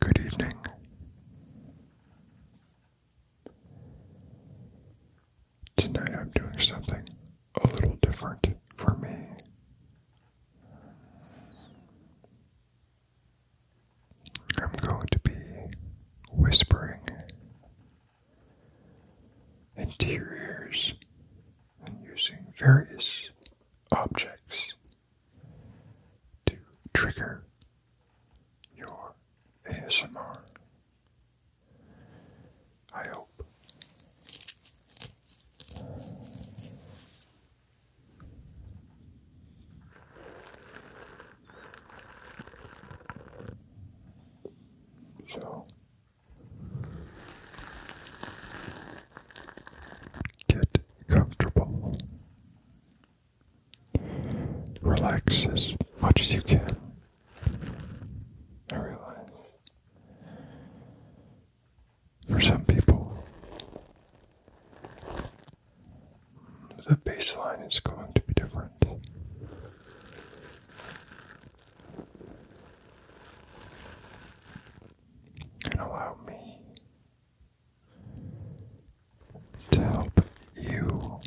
Good evening. Tonight I'm doing something a little different for me. I'm going to be whispering into your ears and using various objects to trigger your ASMR. I hope. So, Get comfortable. Relax as much as you can. I realize for some people, the baseline is going to be different and allow me to help you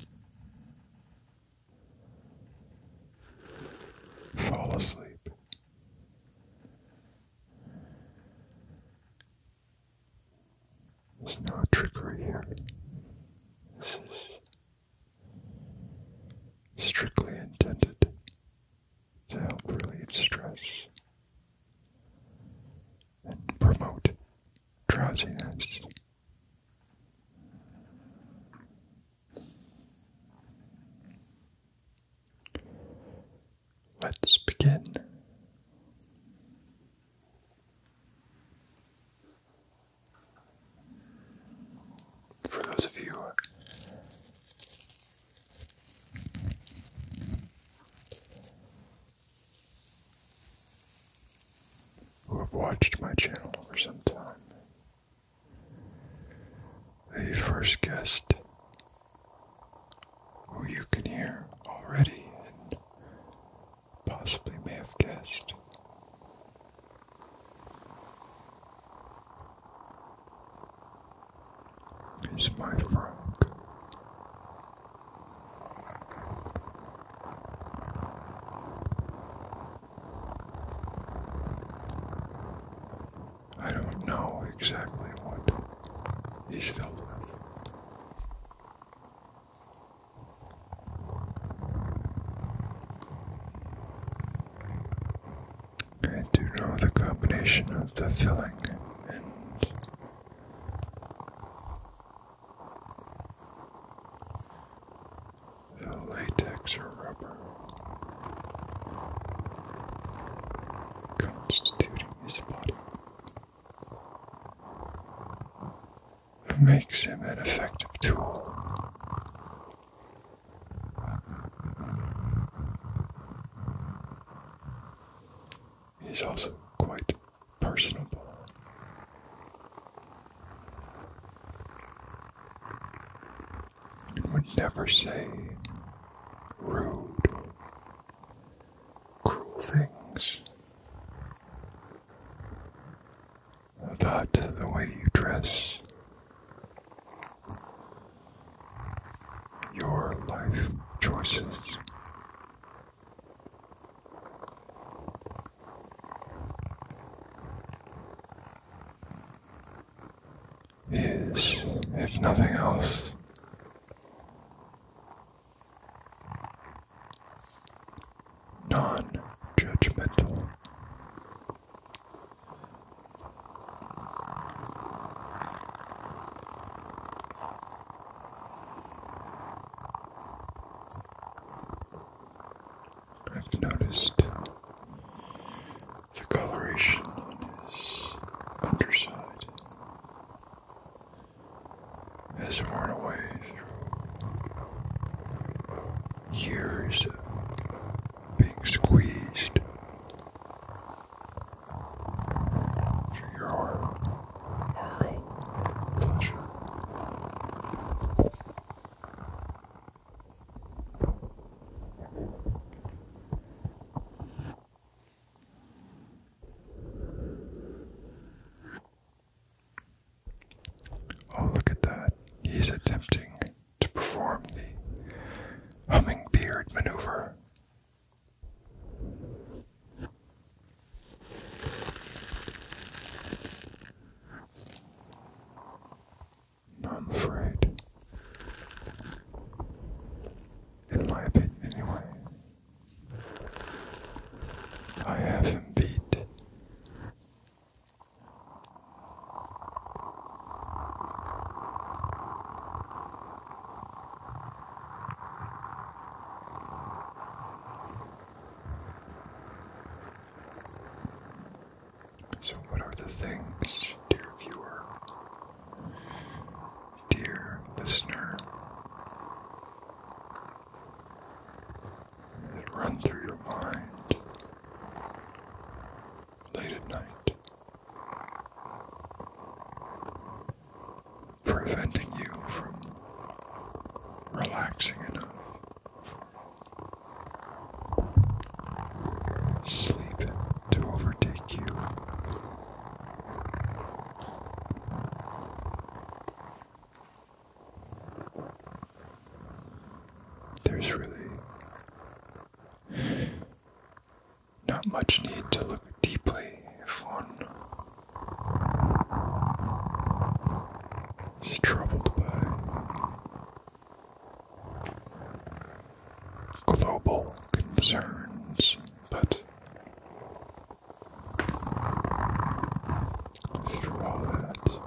fall asleep. There's no trickery here. This is strictly intended to help relieve stress and promote drowsiness. Let's begin. For those of you who have watched my channel for some time. The first guest who you can hear already and possibly may have guessed He's my friend. I don't know exactly what he's filled with. I do know the combination of the filling and the latex or rubber constituting his body makes him an effective tool He's also quite personable. would never say rude or cruel things about the way you dress your life choices. Is, if nothing else, non judgmental. I've noticed the coloration on his underside has worn away through years of being squeezed Oh, look at that. He's attempting to perform the humming hummingbeard maneuver. I'm afraid, in my opinion, anyway, I have him beat. So, what are the things, dear viewer, dear listener, that run through your mind late at night, preventing you from relaxing enough. Sleep to overtake you. There's really not much need to look deeply if one is troubled by global concerns, but through all that,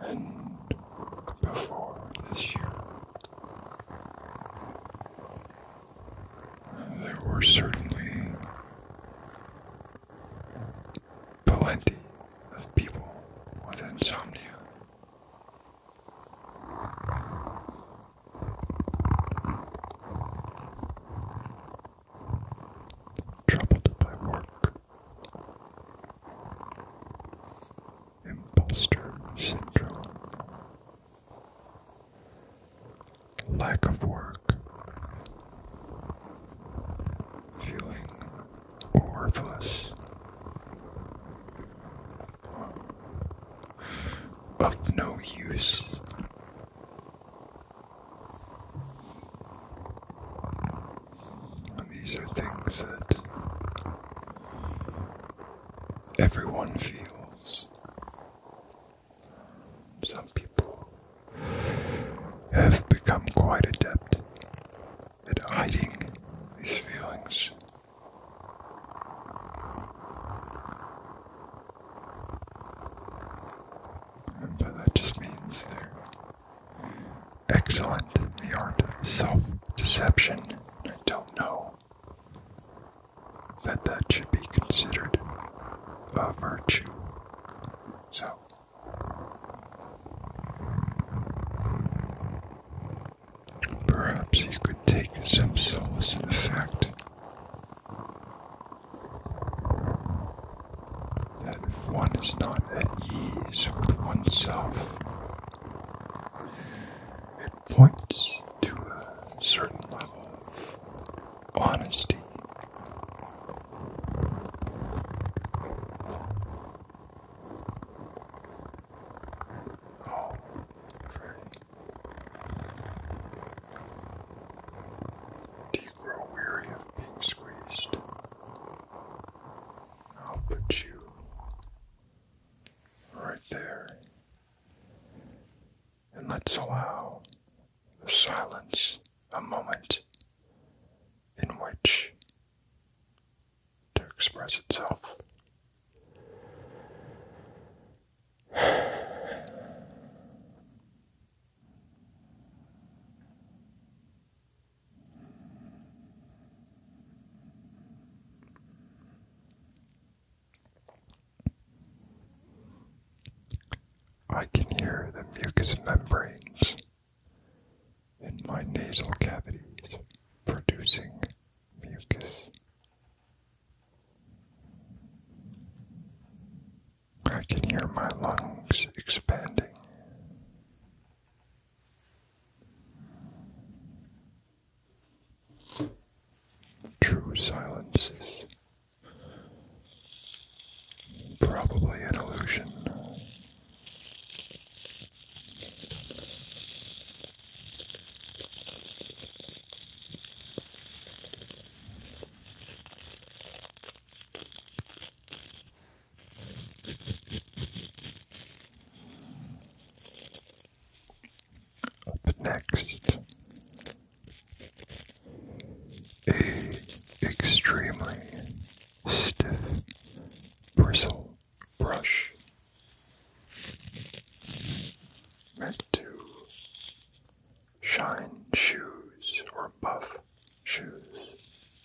and before this year. There were certainly plenty of people with insomnia. Troubled by work, imposter syndrome, lack of work, feeling worthless, of no use these are things that everyone feels. Some people have become quite adept at hiding these feelings. And that just means they're excellent. The art of self deception. I don't know that that should be considered a virtue. So. Perhaps you could take some solace in the fact that if one is not at ease with oneself, it points to a certain level of honesty. Oh, Freddy. Do you grow weary of being squeezed? I'll put you right there. And let's allow the silence a moment in which to express itself. I can hear the mucous membranes in my nasal cavities producing mucus. I can hear my lungs expanding. True silences, probably an illusion. Up next, a extremely stiff bristle brush meant to shine shoes or buff shoes.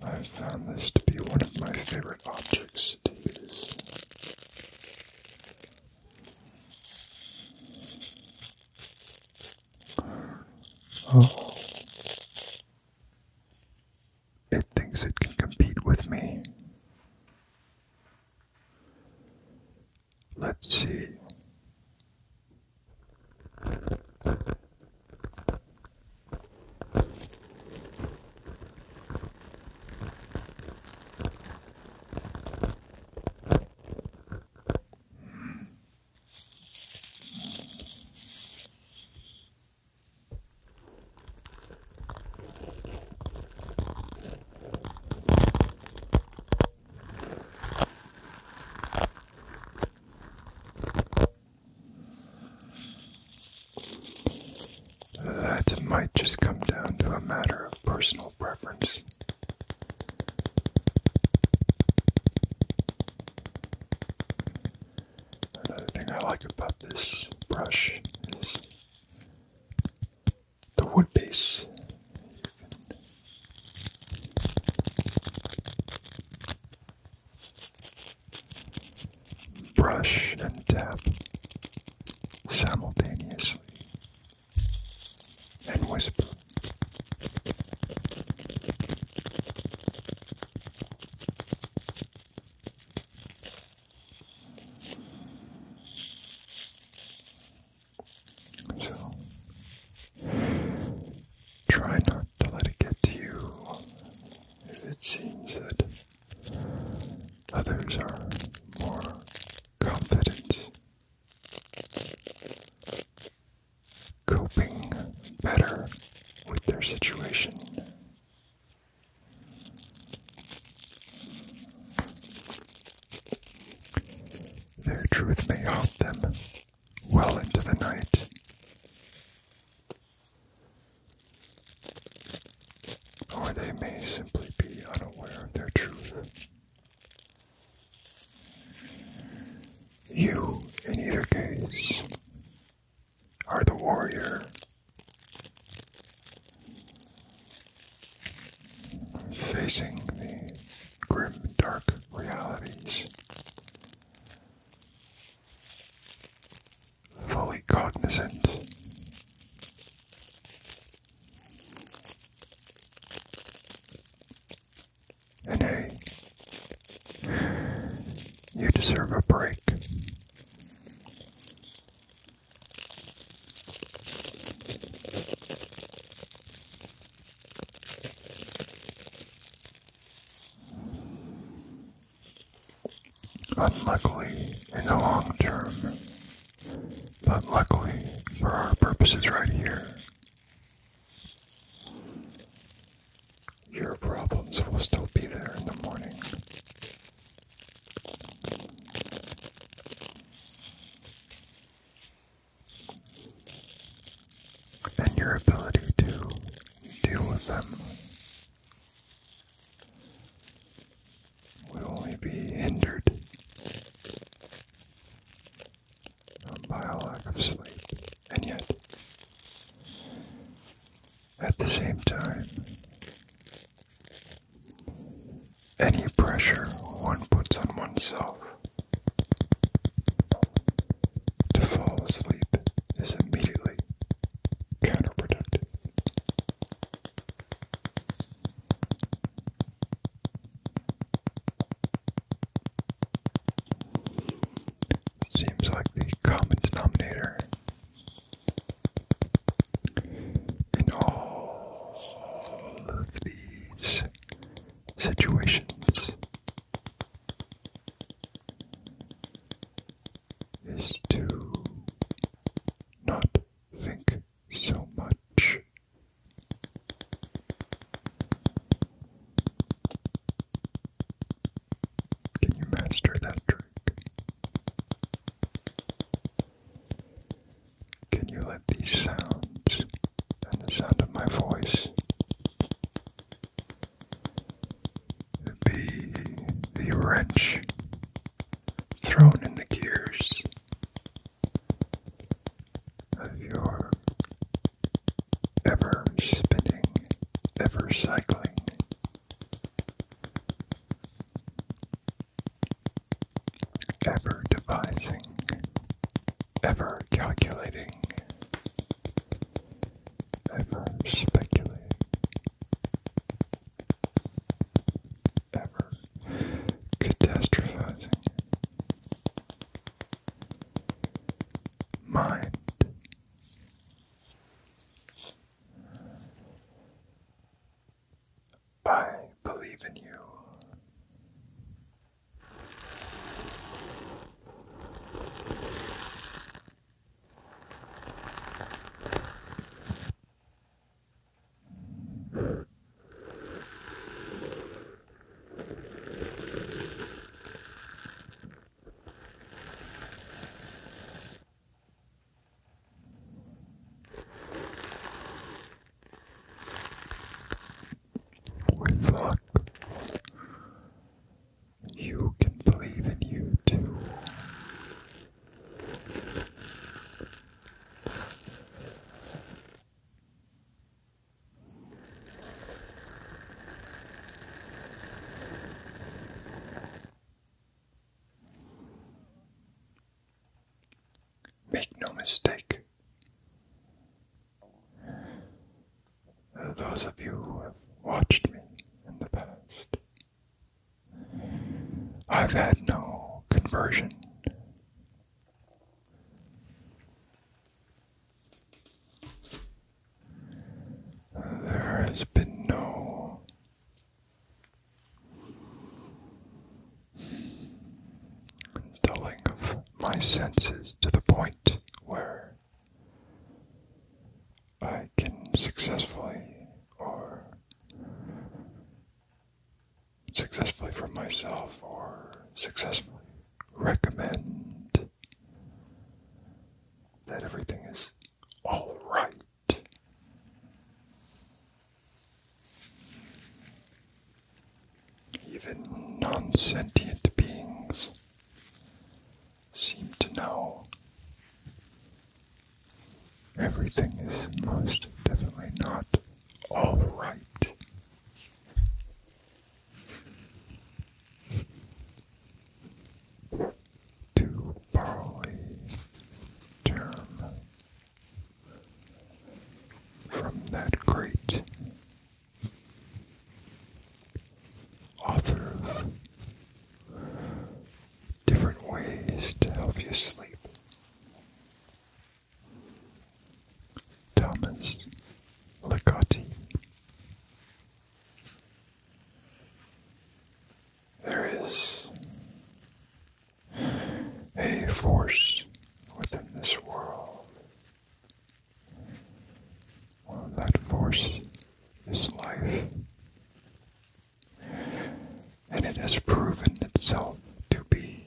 I've found this to be one of my favorite objects to use. Oh. It thinks it can compete with me. Let's see. That might just come down to a matter of personal preference. Another thing I like about this brush is the wood base. Brush and tap simultaneously and whisper. So try not to let it get to you it seems that others are more confident coping better with their situation. Their truth may haunt them well into the night. Or they may simply be unaware of their truth. You, in either case, are the warrior. Facing the grim, dark realities, fully cognizant and hey, you deserve a break. Unluckily, in the long term, but luckily for our purposes right here, your problems will still be there in the morning. And your ability to deal with them will only be hindered um, by a lack of sleep, and yet, at the same time, any pressure one puts on oneself to fall asleep is immediately counterproductive. Seems like the common denominator in all of these situations is to not think so much. Can you master that trick? Can you let these sounds and the sound of my voice be the wrench thrown in the gears of your ever spinning, ever cycling. Ever devising, ever calculating, ever speculating, ever catastrophizing, mind. I believe in you. With luck, you can believe in you too. Make no mistake, those of you who have watched me in the past, I've had no conversion. There has been no dulling of my senses to the point where I can successfully or successfully for myself or successfully recommend that everything is all right. Even non sentient beings seem to know everything is most definitely not all right to Bali from that great author of different ways to help you sleep. Thomas Licotti there is a force within this world. Well, that force is life. And it has proven itself to be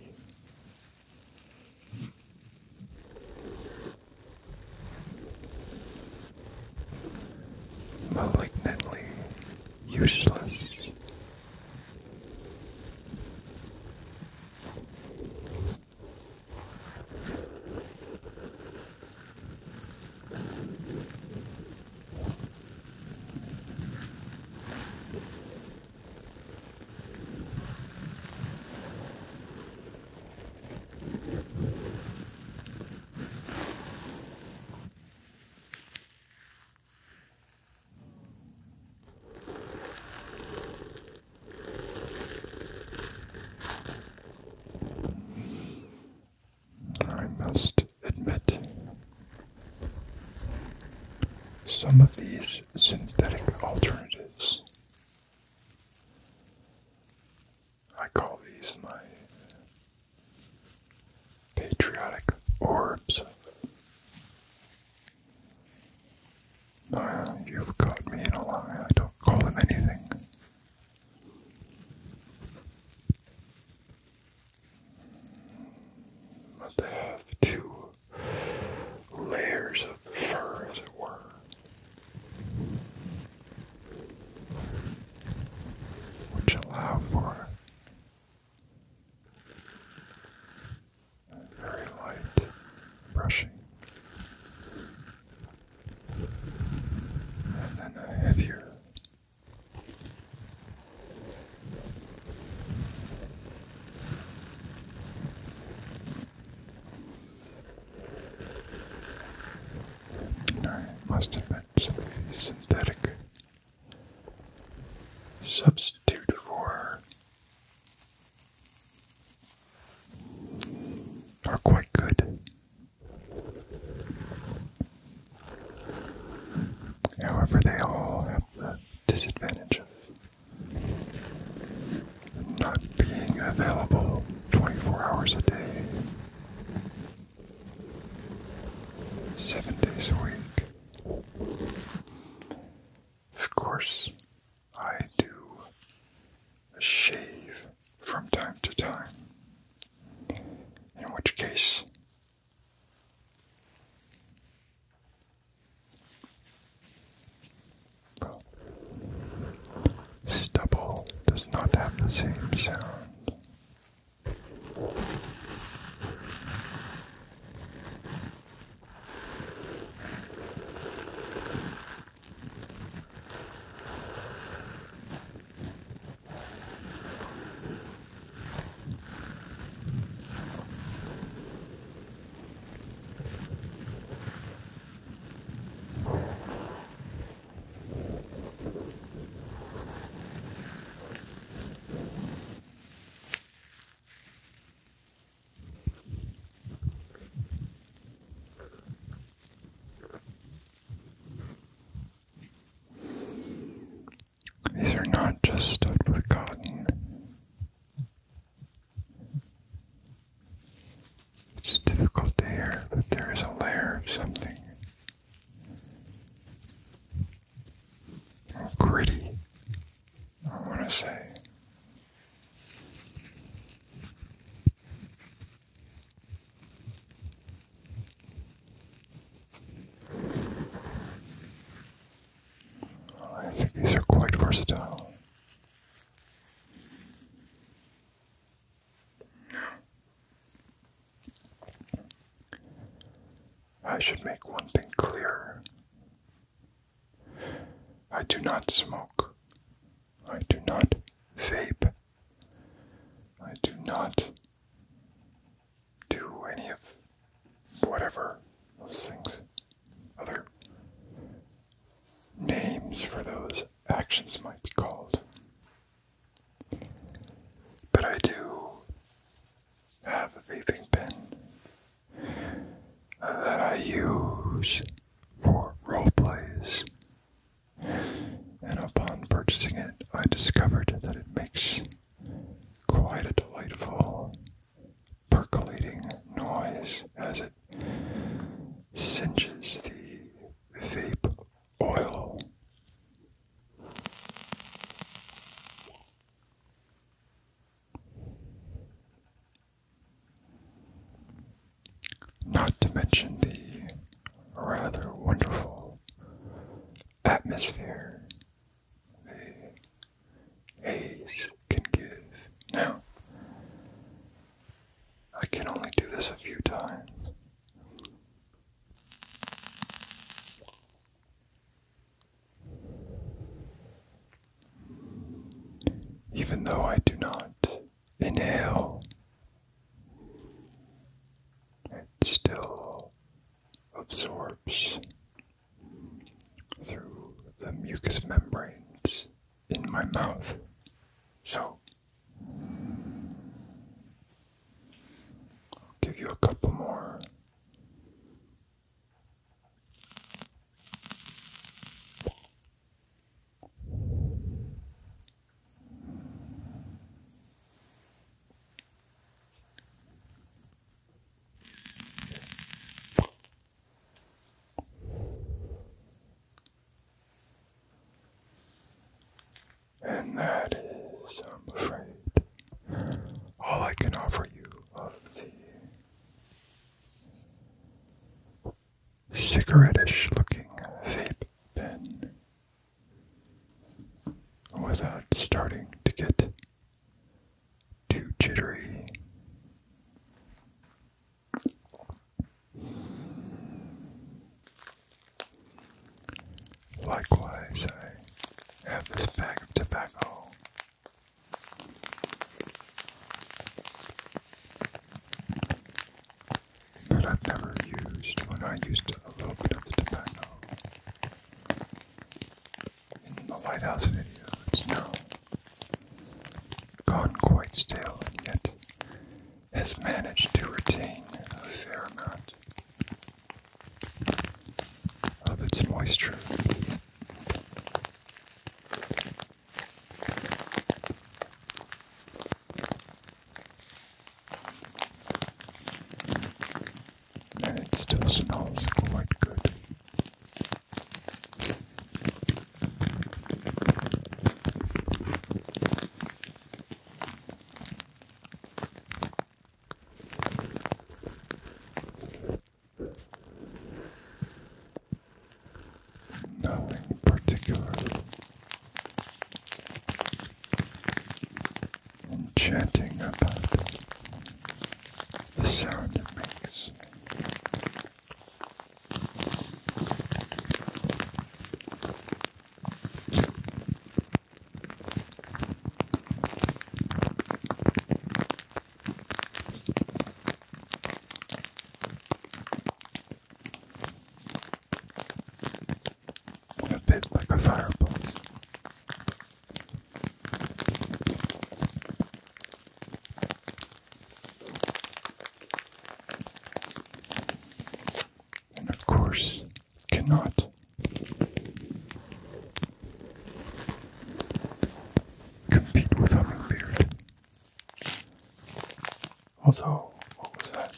Malignantly useless. I must admit, some of these synthetic alternatives I call these my patriotic orbs. you've caught me in a lie. I don't call them anything. But they have two layers of fur, as it were which allow for very light brushing and then heavier must have been some synthetic substitute for are quite good. However, they all have the disadvantage of not being available 24 hours a day, 7 days a week. Of course, I do shave from time to time, in which case, Stubble does not have the same sound. These are not just stuffed with cotton. It's difficult to hear, but there is a layer of something gritty, I want to say. I think these are quite versatile. I should make one thing clear. I do not smoke. I do not vape. I do not do any of whatever those things. Other names for those actions might be called. But I do have a vaping pen uh, that I use for role plays. And upon purchasing it, I discovered that it makes quite a delightful percolating noise as it that cinches the vape oil. Not to mention the rather wonderful atmosphere the haze can give. Now, I can only do this a few times. Even though I do not inhale, it still absorbs through the mucous membranes in my mouth. So I'll give you a couple more. And that is, I'm afraid, all I can offer you of the cigarette-ish looking vape pen without starting to get too jittery. Likewise, I have this bag of tobacco. That I've never used when I used a little bit of the tobacco in the lighthouse video. It's now gone quite stale yet has managed to retain a fair amount of its moisture. And it still smells quite good. Nothing particular. Enchanting about the sound it makes. A bit like a fireplace. And of course, cannot. Compete with Hummingbird. Although, what was that?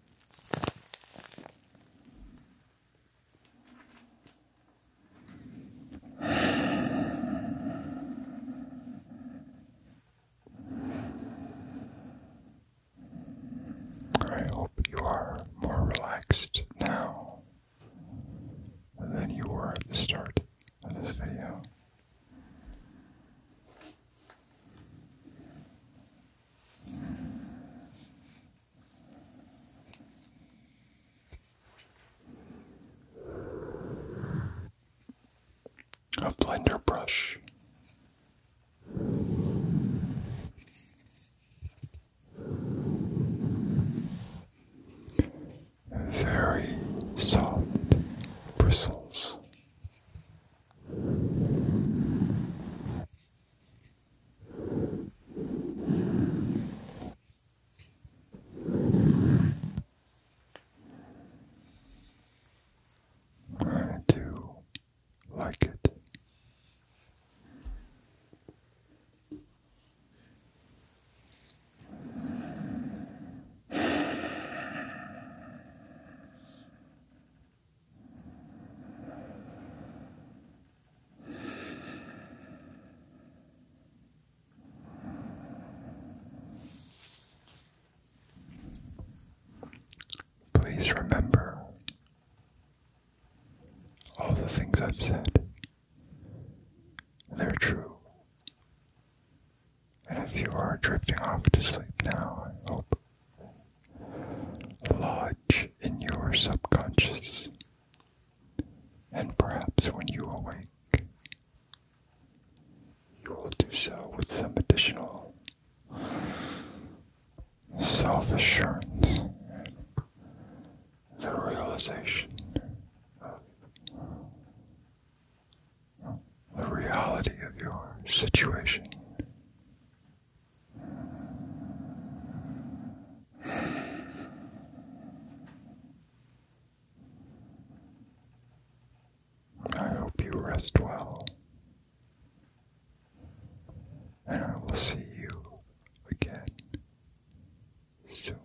I hope you are more relaxed now than you were at the start of this video. A blender brush. Very soft bristles. I do like it. Please remember all the things I've said. They're true. And if you are drifting off to sleep now, I hope lodge in your subconscious, and perhaps when you awake, you will do so with some additional self assurance the realization the reality of your situation. I hope you rest well, and I will see you again soon.